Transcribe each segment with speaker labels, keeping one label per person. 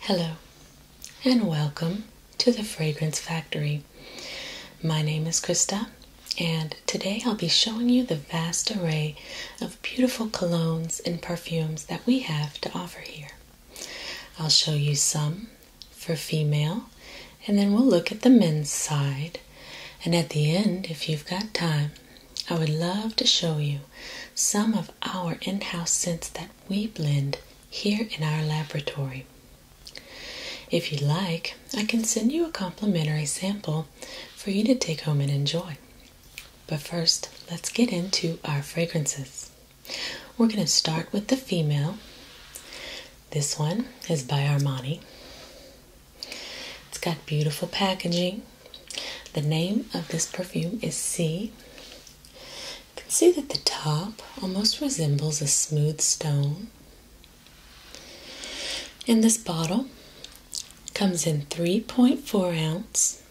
Speaker 1: Hello, and welcome to the Fragrance Factory. My name is Krista, and today I'll be showing you the vast array of beautiful colognes and perfumes that we have to offer here. I'll show you some for female, and then we'll look at the men's side and at the end, if you've got time, I would love to show you some of our in house scents that we blend here in our laboratory. If you'd like, I can send you a complimentary sample for you to take home and enjoy. But first, let's get into our fragrances. We're going to start with the female. This one is by Armani. It's got beautiful packaging. The name of this perfume is C. You can see that the top almost resembles a smooth stone. And this bottle comes in 3.4 ounce.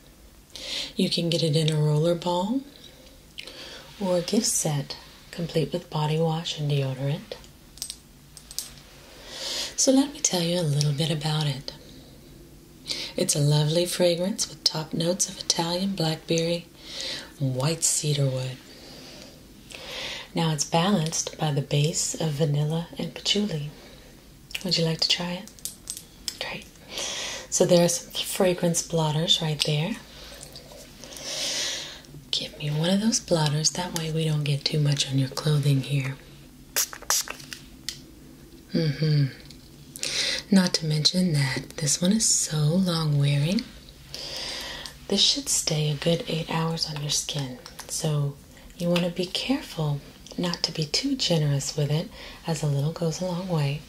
Speaker 1: You can get it in a roller ball or a gift set complete with body wash and deodorant. So, let me tell you a little bit about it. It's a lovely fragrance with top notes of Italian blackberry and white cedarwood. Now, it's balanced by the base of vanilla and patchouli. Would you like to try it? Great. So, there are some fragrance blotters right there. Give me one of those blotters, that way we don't get too much on your clothing here. Mm-hmm. Not to mention that this one is so long wearing. This should stay a good eight hours on your skin. So you want to be careful not to be too generous with it, as a little goes a long way.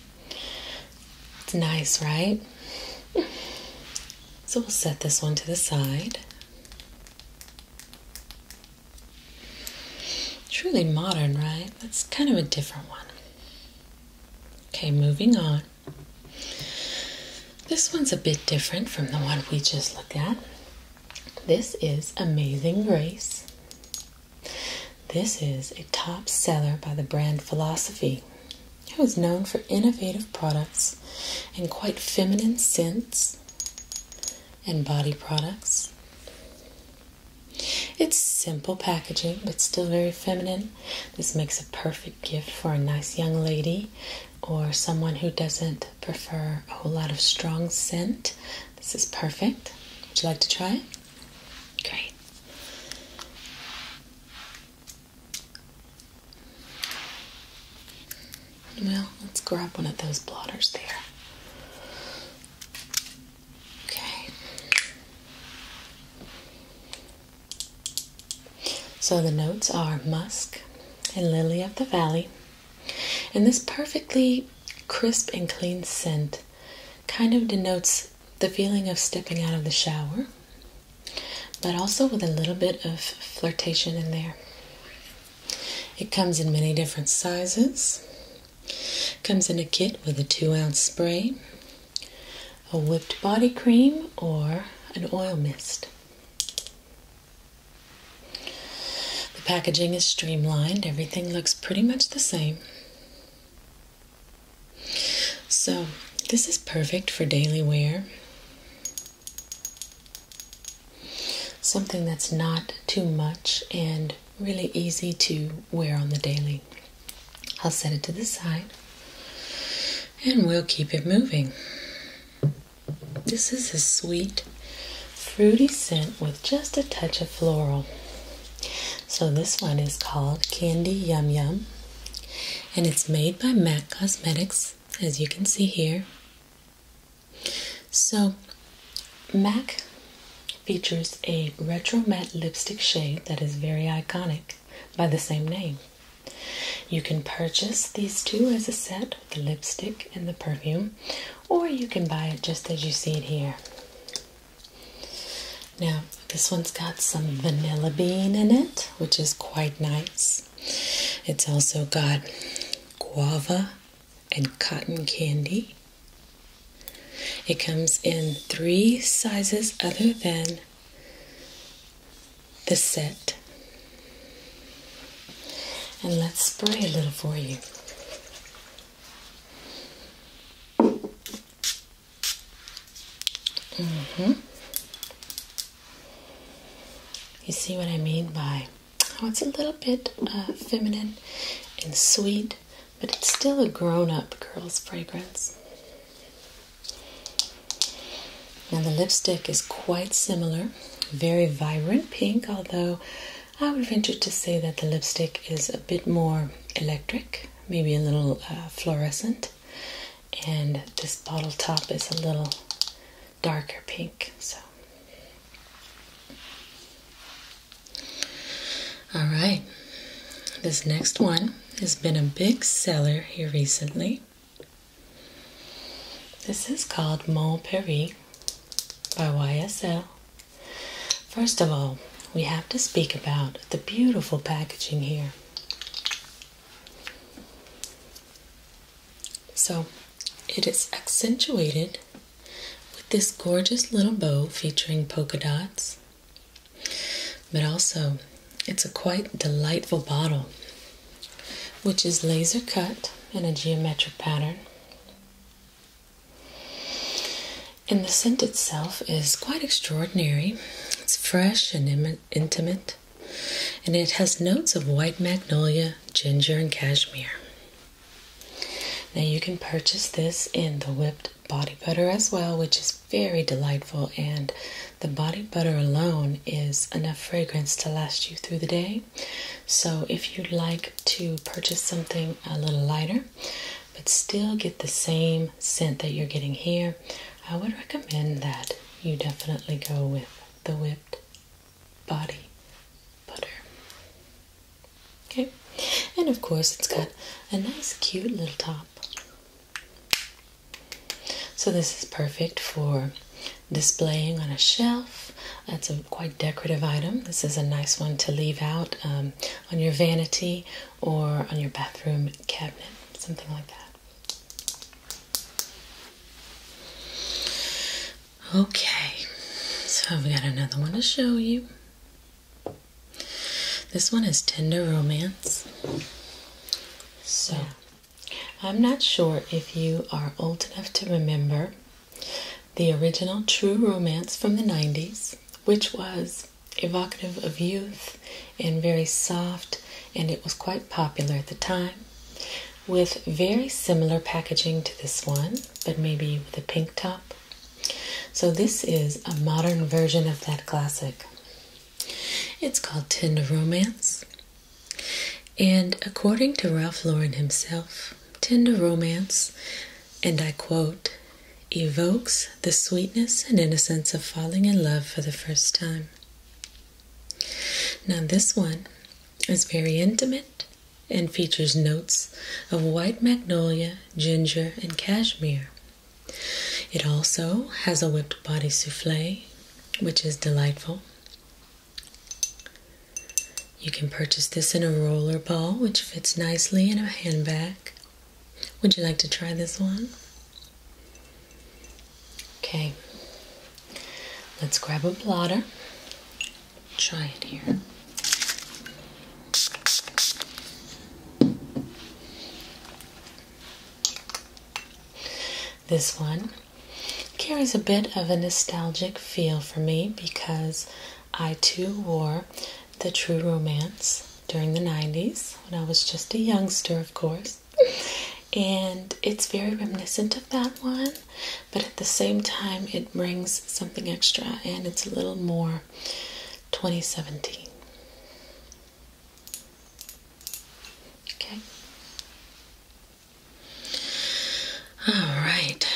Speaker 1: It's nice, right? so we'll set this one to the side. Truly modern, right? That's kind of a different one. Okay, moving on. This one's a bit different from the one we just looked at. This is Amazing Grace. This is a top seller by the brand Philosophy, who is known for innovative products and quite feminine scents and body products. It's simple packaging, but still very feminine. This makes a perfect gift for a nice young lady or someone who doesn't prefer a whole lot of strong scent. This is perfect. Would you like to try it? Great. Well, let's grab one of those blotters there. Okay. So the notes are musk and lily of the valley. And this perfectly crisp and clean scent kind of denotes the feeling of stepping out of the shower, but also with a little bit of flirtation in there. It comes in many different sizes. comes in a kit with a two ounce spray, a whipped body cream, or an oil mist. The packaging is streamlined, everything looks pretty much the same. So, this is perfect for daily wear. Something that's not too much and really easy to wear on the daily. I'll set it to the side and we'll keep it moving. This is a sweet, fruity scent with just a touch of floral. So, this one is called Candy Yum Yum and it's made by MAC Cosmetics, as you can see here. So, MAC features a retro matte lipstick shade that is very iconic by the same name. You can purchase these two as a set, the lipstick and the perfume, or you can buy it just as you see it here. Now, this one's got some vanilla bean in it, which is quite nice. It's also got guava and cotton candy. It comes in three sizes other than the set. And let's spray a little for you. Mm-hmm. You see what I mean by Oh, it's a little bit uh, feminine and sweet, but it's still a grown up girl's fragrance. Now, the lipstick is quite similar, very vibrant pink, although I would venture to say that the lipstick is a bit more electric, maybe a little uh, fluorescent, and this bottle top is a little darker pink. So, all right, this next one has been a big seller here recently. This is called Mon Paris by YSL. First of all, we have to speak about the beautiful packaging here. So it is accentuated with this gorgeous little bow featuring polka dots, but also it's a quite delightful bottle, which is laser cut in a geometric pattern. And the scent itself is quite extraordinary. It's fresh and intimate, and it has notes of white magnolia Ginger and Cashmere. Now you can purchase this in the whipped body butter as well, which is very delightful. And the body butter alone is enough fragrance to last you through the day. So if you'd like to purchase something a little lighter, but still get the same scent that you're getting here, I would recommend that you definitely go with the whipped body butter. Okay, and of course, it's got a nice, cute little top. So, this is perfect for displaying on a shelf. That's a quite decorative item. This is a nice one to leave out um, on your vanity or on your bathroom cabinet, something like that. Okay, so I've got another one to show you. This one is Tender Romance. So, I'm not sure if you are old enough to remember the original True Romance from the 90s, which was evocative of youth and very soft, and it was quite popular at the time with very similar packaging to this one, but maybe with a pink top. So, this is a modern version of that classic. It's called Tender Romance. And according to Ralph Lauren himself, Tender Romance, and I quote, evokes the sweetness and innocence of falling in love for the first time. Now, this one is very intimate and features notes of white magnolia, ginger, and cashmere. It also has a whipped body souffle, which is delightful. You can purchase this in a roller ball, which fits nicely in a handbag. Would you like to try this one? Okay, Let's grab a blotter. Try it here. This one carries a bit of a nostalgic feel for me because I too wore the True Romance during the 90s when I was just a youngster, of course. And it's very reminiscent of that one but at the same time, it brings something extra and it's a little more 2017. Okay. All right.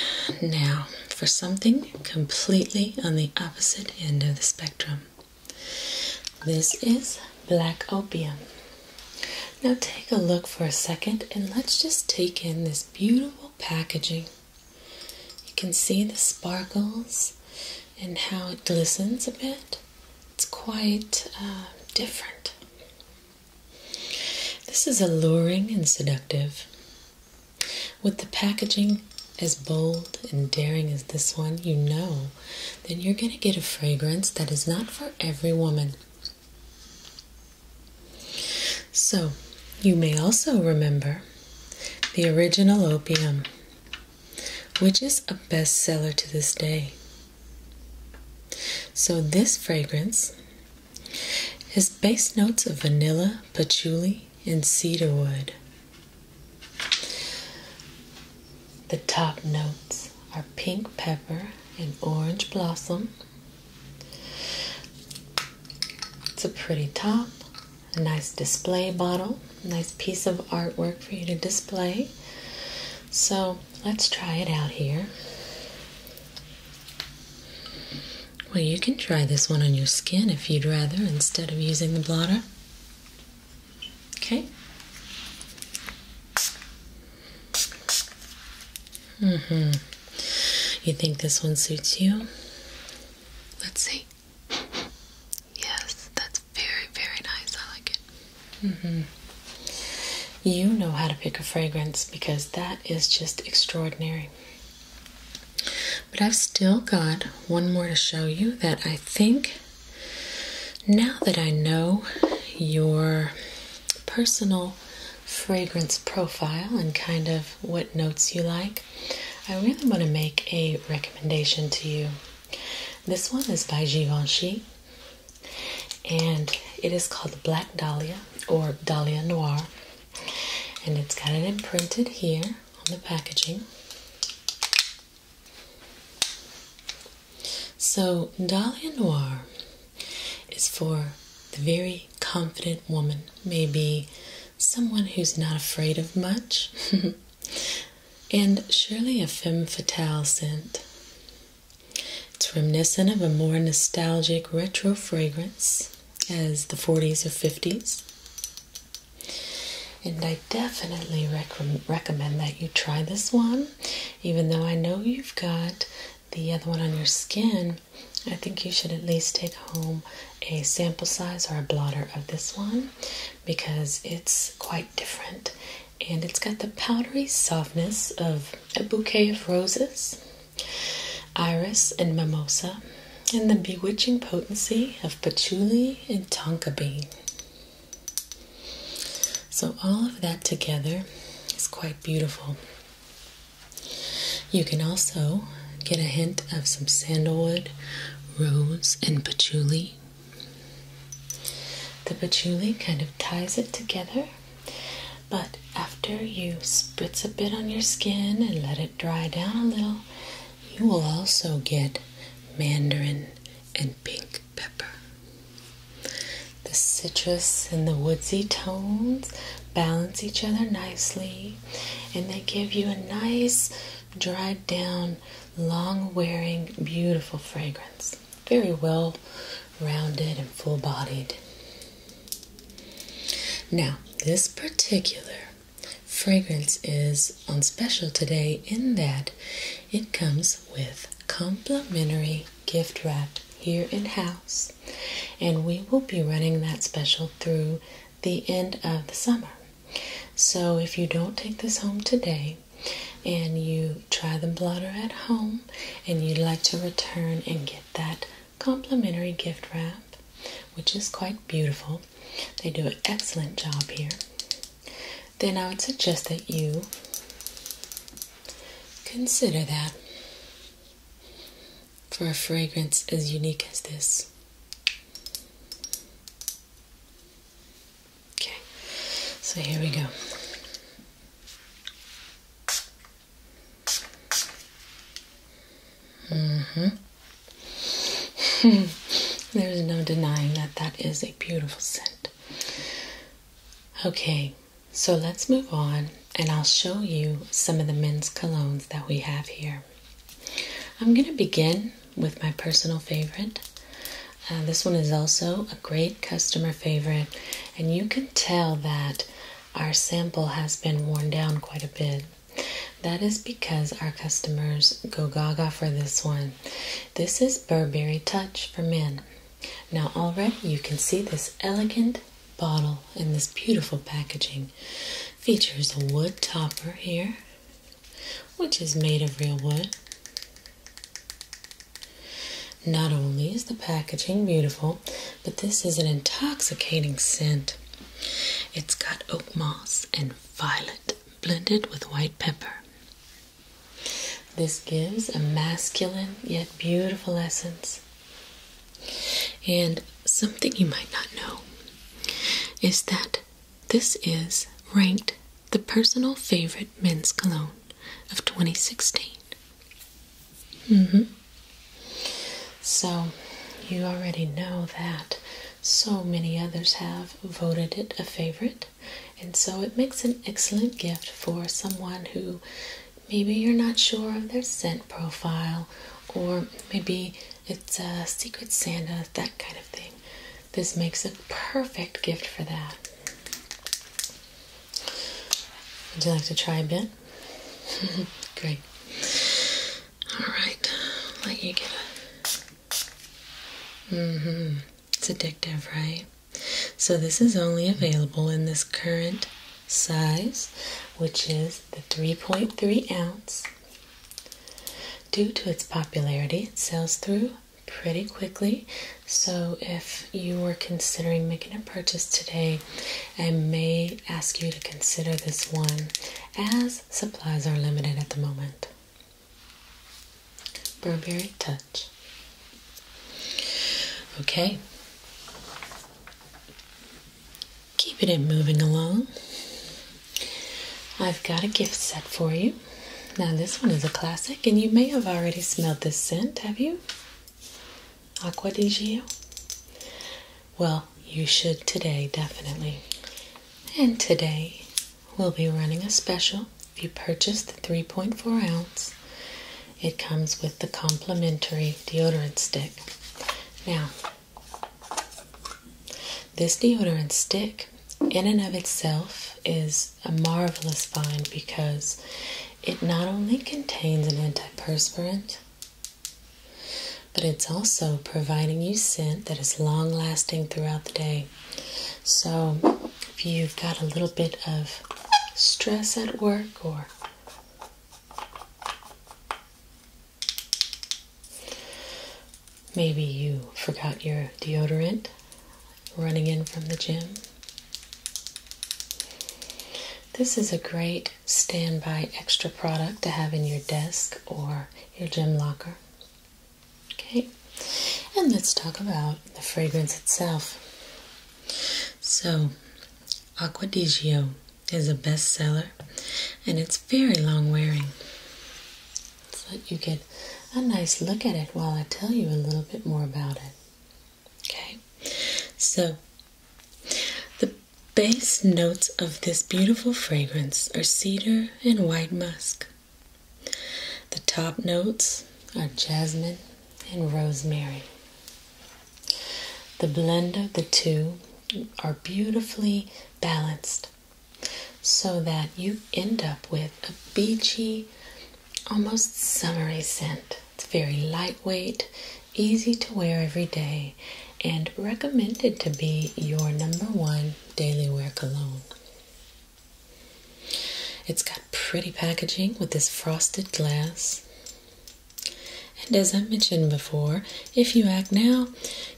Speaker 1: Now, for something completely on the opposite end of the spectrum. This is black opium. Now take a look for a second and let's just take in this beautiful packaging. You can see the sparkles and how it glistens a bit. It's quite uh, different. This is alluring and seductive. With the packaging as bold and daring as this one, you know, then you're going to get a fragrance that is not for every woman. So, you may also remember the original opium, which is a bestseller to this day. So, this fragrance has base notes of vanilla, patchouli, and cedarwood. The top notes are pink pepper and orange blossom, it's a pretty top, a nice display bottle, nice piece of artwork for you to display. So let's try it out here. Well, you can try this one on your skin if you'd rather instead of using the blotter. Okay. Mm-hmm. You think this one suits you? Let's see. Yes, that's very, very nice. I like it. Mm-hmm. You know how to pick a fragrance because that is just extraordinary. But I've still got one more to show you that I think now that I know you're personal fragrance profile and kind of what notes you like, I really want to make a recommendation to you. This one is by Givenchy and it is called Black Dahlia or Dahlia Noir, and it's got it imprinted here on the packaging. So, Dahlia Noir is for the very confident woman, maybe someone who's not afraid of much. and surely a femme fatale scent. It's reminiscent of a more nostalgic retro fragrance as the 40s or 50s. And I definitely recommend that you try this one, even though I know you've got the other one on your skin, I think you should at least take home a sample size or a blotter of this one because it's quite different and it's got the powdery softness of a bouquet of roses, iris, and mimosa, and the bewitching potency of patchouli and tonka bean. So, all of that together is quite beautiful. You can also get a hint of some sandalwood, rose, and patchouli. The patchouli kind of ties it together, but after you spritz a bit on your skin and let it dry down a little, you will also get mandarin and pink pepper. The citrus and the woodsy tones balance each other nicely and they give you a nice, dried down, long wearing, beautiful fragrance. Very well rounded and full bodied. Now, this particular fragrance is on special today in that it comes with complimentary gift wrap here in house, and we will be running that special through the end of the summer. So, if you don't take this home today and you try the blotter at home and you'd like to return and get that complimentary gift wrap, which is quite beautiful, they do an excellent job here. Then I would suggest that you consider that for a fragrance as unique as this. Okay, so here we go. hmm There's no denying that that is a beautiful scent. Okay, so let's move on and I'll show you some of the men's colognes that we have here. I'm going to begin with my personal favorite. Uh, this one is also a great customer favorite, and you can tell that our sample has been worn down quite a bit. That is because our customers go gaga for this one. This is Burberry Touch for men. Now, already you can see this elegant bottle in this beautiful packaging. Features a wood topper here, which is made of real wood. Not only is the packaging beautiful, but this is an intoxicating scent. It's got oak moss and violet blended with white pepper. This gives a masculine yet beautiful essence and something you might not know is that this is ranked the personal favorite men's cologne of 2016. Mm -hmm. So you already know that so many others have voted it a favorite, and so it makes an excellent gift for someone who Maybe you're not sure of their scent profile, or maybe it's a Secret Santa, that kind of thing. This makes a perfect gift for that. Would you like to try a bit? Great. All let you get it. Mm-hmm. It's addictive, right? So this is only available in this current size, which is the 3.3 ounce. Due to its popularity, it sells through pretty quickly. So, if you are considering making a purchase today, I may ask you to consider this one as supplies are limited at the moment. Burberry Touch. Okay, Keeping it moving along. I've got a gift set for you. Now, this one is a classic, and you may have already smelled this scent, have you? Aqua di Gio? Well, you should today, definitely. And today, we'll be running a special if you purchase the 3.4 ounce it comes with the complimentary deodorant stick. Now, this deodorant stick, in and of itself, is a marvelous find because it not only contains an antiperspirant, but it's also providing you scent that is long lasting throughout the day. So, if you've got a little bit of stress at work or Maybe you forgot your deodorant running in from the gym. This is a great standby extra product to have in your desk or your gym locker. Okay, and let's talk about the fragrance itself. So, Acqua di Gio is a bestseller and it's very long wearing. So that you get a nice look at it while I tell you a little bit more about it. Okay, so the base notes of this beautiful fragrance are cedar and white musk. The top notes are jasmine, and rosemary. The blend of the two are beautifully balanced so that you end up with a beachy, almost summery scent. It's very lightweight, easy to wear every day, and recommended to be your number one daily wear cologne. It's got pretty packaging with this frosted glass. And as I mentioned before, if you act now,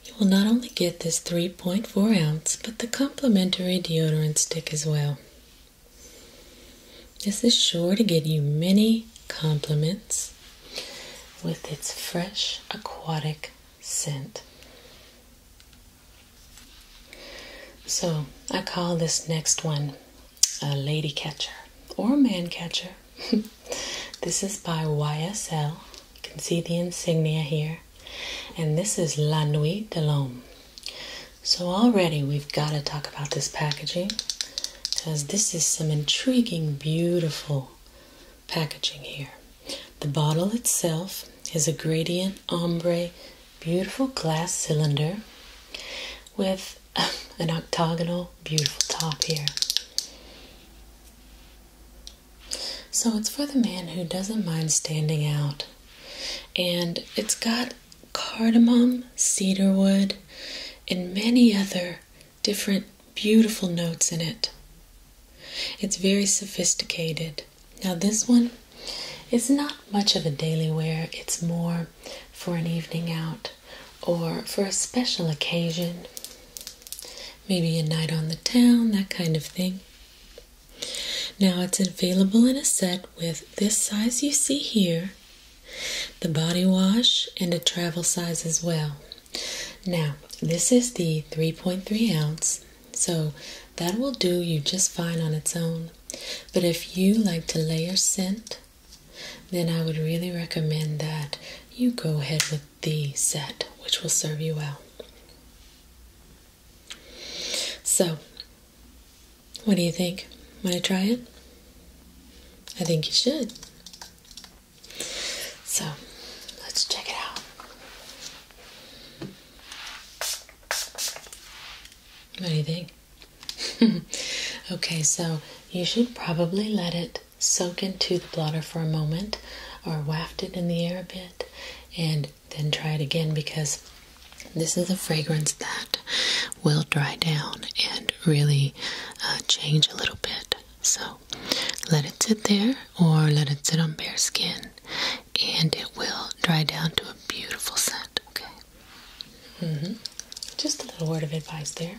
Speaker 1: you will not only get this 3.4 ounce, but the complimentary deodorant stick as well. This is sure to get you many compliments with its fresh aquatic scent. So I call this next one a lady catcher or a man catcher. this is by YSL. You can see the insignia here. And this is La Nuit de l'Homme. So already we've got to talk about this packaging because this is some intriguing, beautiful packaging here. The bottle itself is a gradient ombre, beautiful glass cylinder with an octagonal, beautiful top here. So it's for the man who doesn't mind standing out. And it's got cardamom, cedarwood, and many other different beautiful notes in it. It's very sophisticated. Now, this one is not much of a daily wear, it's more for an evening out or for a special occasion. Maybe a night on the town, that kind of thing. Now it's available in a set with this size you see here, the body wash, and a travel size as well. Now, this is the 3.3 ounce, so that will do you just fine on its own. But if you like to layer scent then I would really recommend that you go ahead with the set, which will serve you well. So, what do you think? Want to try it? I think you should. So, let's check it out. What do you think? okay, so you should probably let it soak into the blotter for a moment or waft it in the air a bit and then try it again because this is a fragrance that will dry down and really uh, change a little bit. So let it sit there or let it sit on bare skin and it will dry down to a beautiful scent. Okay. Mm-hmm. Just a little word of advice there.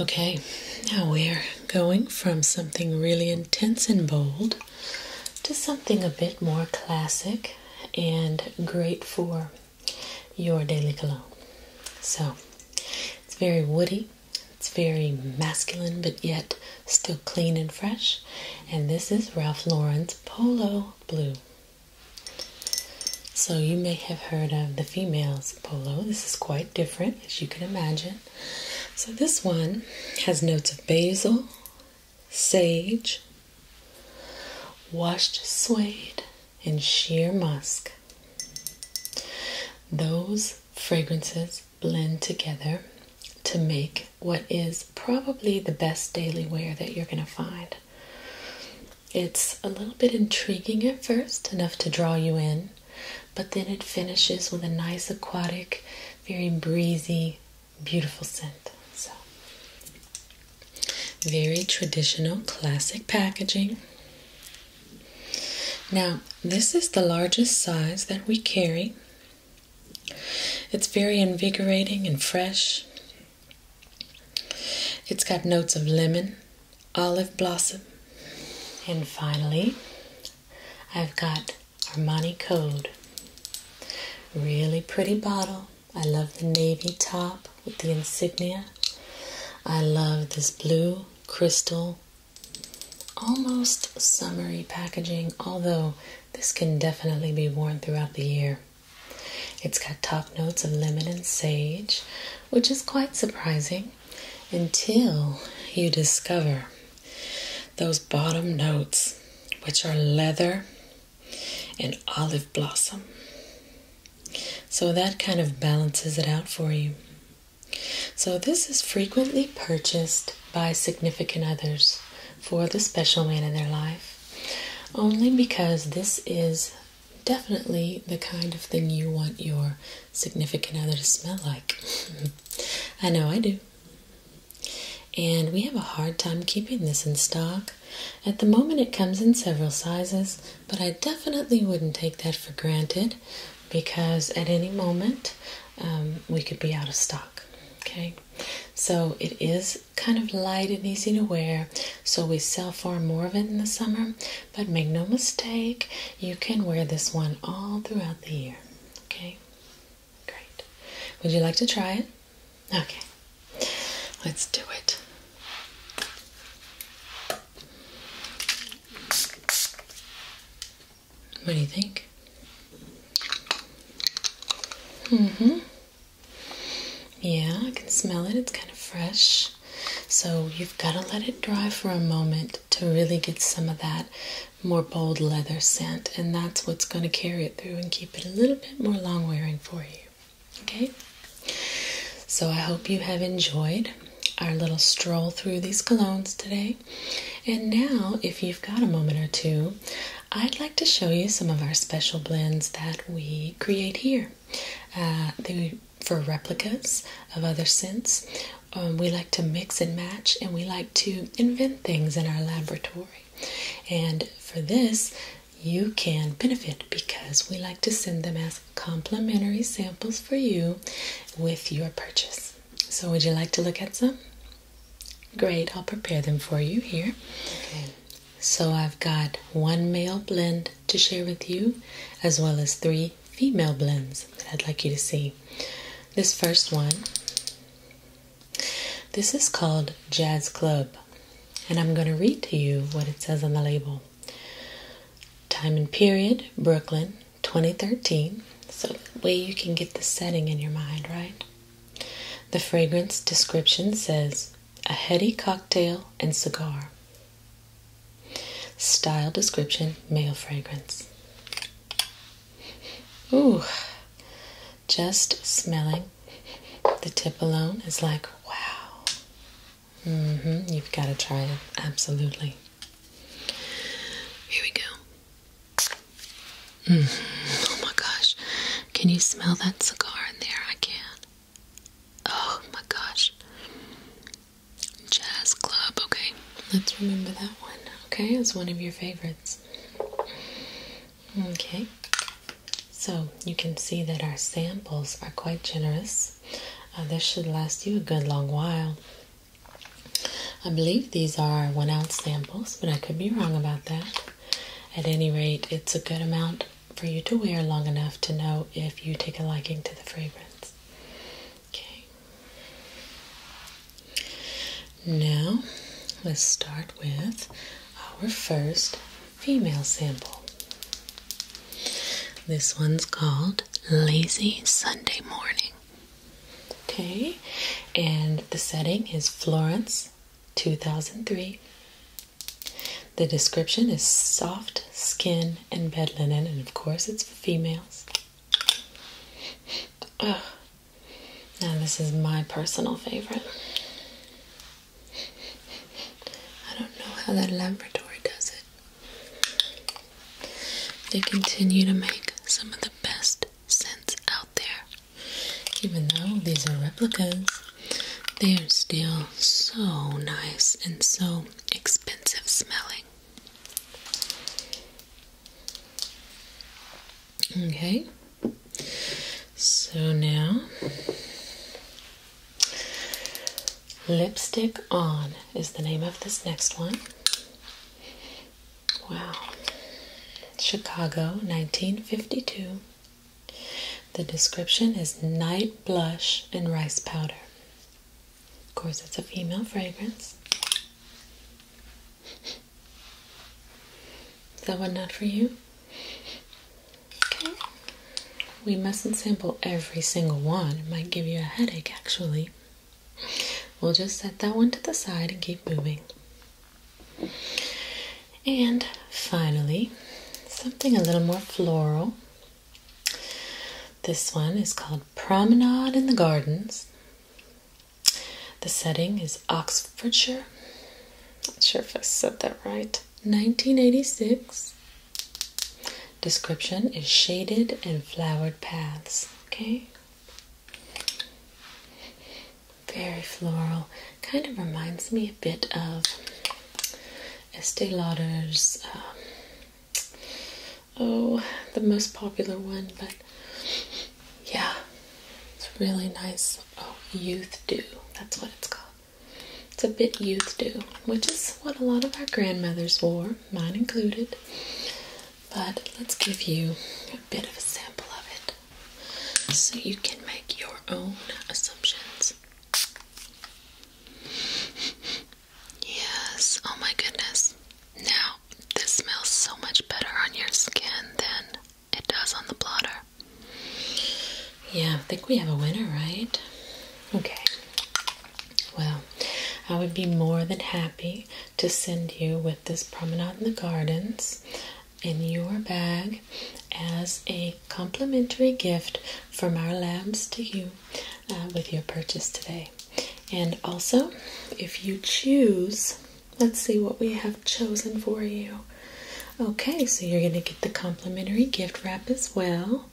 Speaker 1: Okay, now we're going from something really intense and bold to something a bit more classic and great for your daily cologne. So it's very woody, it's very masculine, but yet still clean and fresh. And this is Ralph Lauren Polo Blue. So, you may have heard of the female's polo. This is quite different, as you can imagine. So, this one has notes of basil, sage, washed suede, and sheer musk. Those fragrances blend together to make what is probably the best daily wear that you're going to find. It's a little bit intriguing at first, enough to draw you in, but then it finishes with a nice aquatic, very breezy, beautiful scent. So, very traditional, classic packaging. Now, this is the largest size that we carry. It's very invigorating and fresh. It's got notes of lemon, olive blossom, and finally, I've got Armani Code. Really pretty bottle. I love the navy top with the insignia. I love this blue crystal, almost summery packaging, although this can definitely be worn throughout the year. It's got top notes of lemon and sage, which is quite surprising until you discover those bottom notes, which are leather and olive blossom. So that kind of balances it out for you. So, this is frequently purchased by significant others for the special man in their life. Only because this is definitely the kind of thing you want your significant other to smell like. I know I do. And we have a hard time keeping this in stock. At the moment, it comes in several sizes, but I definitely wouldn't take that for granted because at any moment um, we could be out of stock. Okay, so it is kind of light and easy to wear, so we sell far more of it in the summer. But make no mistake, you can wear this one all throughout the year. Okay, great. Would you like to try it? Okay, let's do it. What do you think? Mm hmm. Yeah, I can smell it. It's kind of fresh. So you've got to let it dry for a moment to really get some of that more bold leather scent. And that's what's going to carry it through and keep it a little bit more long wearing for you. Okay? So I hope you have enjoyed our little stroll through these colognes today. And now, if you've got a moment or two, I'd like to show you some of our special blends that we create here. Uh, for replicas of other scents, um, we like to mix and match, and we like to invent things in our laboratory. And for this, you can benefit because we like to send them as complimentary samples for you with your purchase. So, would you like to look at some? Great, I'll prepare them for you here. So I've got one male blend to share with you, as well as three female blends that I'd like you to see. This first one, this is called Jazz Club, and I'm going to read to you what it says on the label. Time and period, Brooklyn, 2013, so that way you can get the setting in your mind, right? The fragrance description says a heady cocktail and cigar. Style description male fragrance. Ooh, just smelling the tip alone is like, wow. Mm-hmm, you've got to try it, absolutely. Here we go. Mm. Oh my gosh, can you smell that cigar in there? I can. Oh my gosh. Jazz Club, okay. Let's remember that one, okay? It's one of your favorites. Okay. So you can see that our samples are quite generous. Uh, this should last you a good long while. I believe these are one ounce samples, but I could be wrong about that. At any rate, it's a good amount for you to wear long enough to know if you take a liking to the fragrance. Okay. Now, let's start with our first female sample. This one's called Lazy Sunday Morning. Okay, and the setting is Florence 2003 the description is soft skin and bed linen, and of course, it's for females. Ugh. Now, this is my personal favorite. I don't know how that laboratory does it. They continue to make some of the best scents out there, even though these are replicas. They are still so nice and so expensive smelling. Okay, so now Lipstick On is the name of this next one. Wow, Chicago 1952. The description is night blush and rice powder. Of course, it's a female fragrance. Is that one not for you? Okay. We mustn't sample every single one. It might give you a headache, actually. We'll just set that one to the side and keep moving. And finally, something a little more floral. This one is called Promenade in the Gardens. The setting is Oxfordshire. Not sure if I said that right. 1986. Description is shaded and flowered paths. Okay. Very floral. Kind of reminds me a bit of Estee Lauder's. Um, oh, the most popular one, but yeah, it's really nice. Oh, Youth Dew. That's what it's called. It's a bit Youth Dew, which is what a lot of our grandmothers wore, mine included. But let's give you a bit of a sample of it so you can make your own assumptions. Yes, oh my goodness. Now, this smells so much better on your skin than it does on the blotter. Yeah, I think we have a winner, right? Okay. Well, I would be more than happy to send you with this promenade in the gardens in your bag as a complimentary gift from our labs to you uh, with your purchase today. And also, if you choose, let's see what we have chosen for you. Okay, so you're going to get the complimentary gift wrap as well.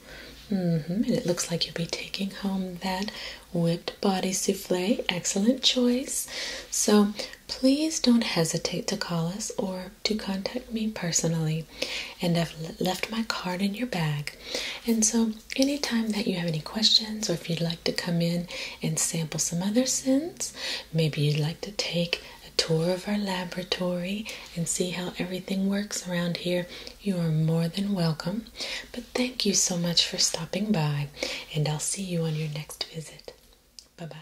Speaker 1: Mm-hmm, and it looks like you'll be taking home that whipped body souffle. Excellent choice. So please don't hesitate to call us or to contact me personally, and I've left my card in your bag. And so, anytime that you have any questions, or if you'd like to come in and sample some other scents, maybe you'd like to take a tour of our laboratory and see how everything works around here, you are more than welcome. But thank you so much for stopping by, and I'll see you on your next visit. Bye bye.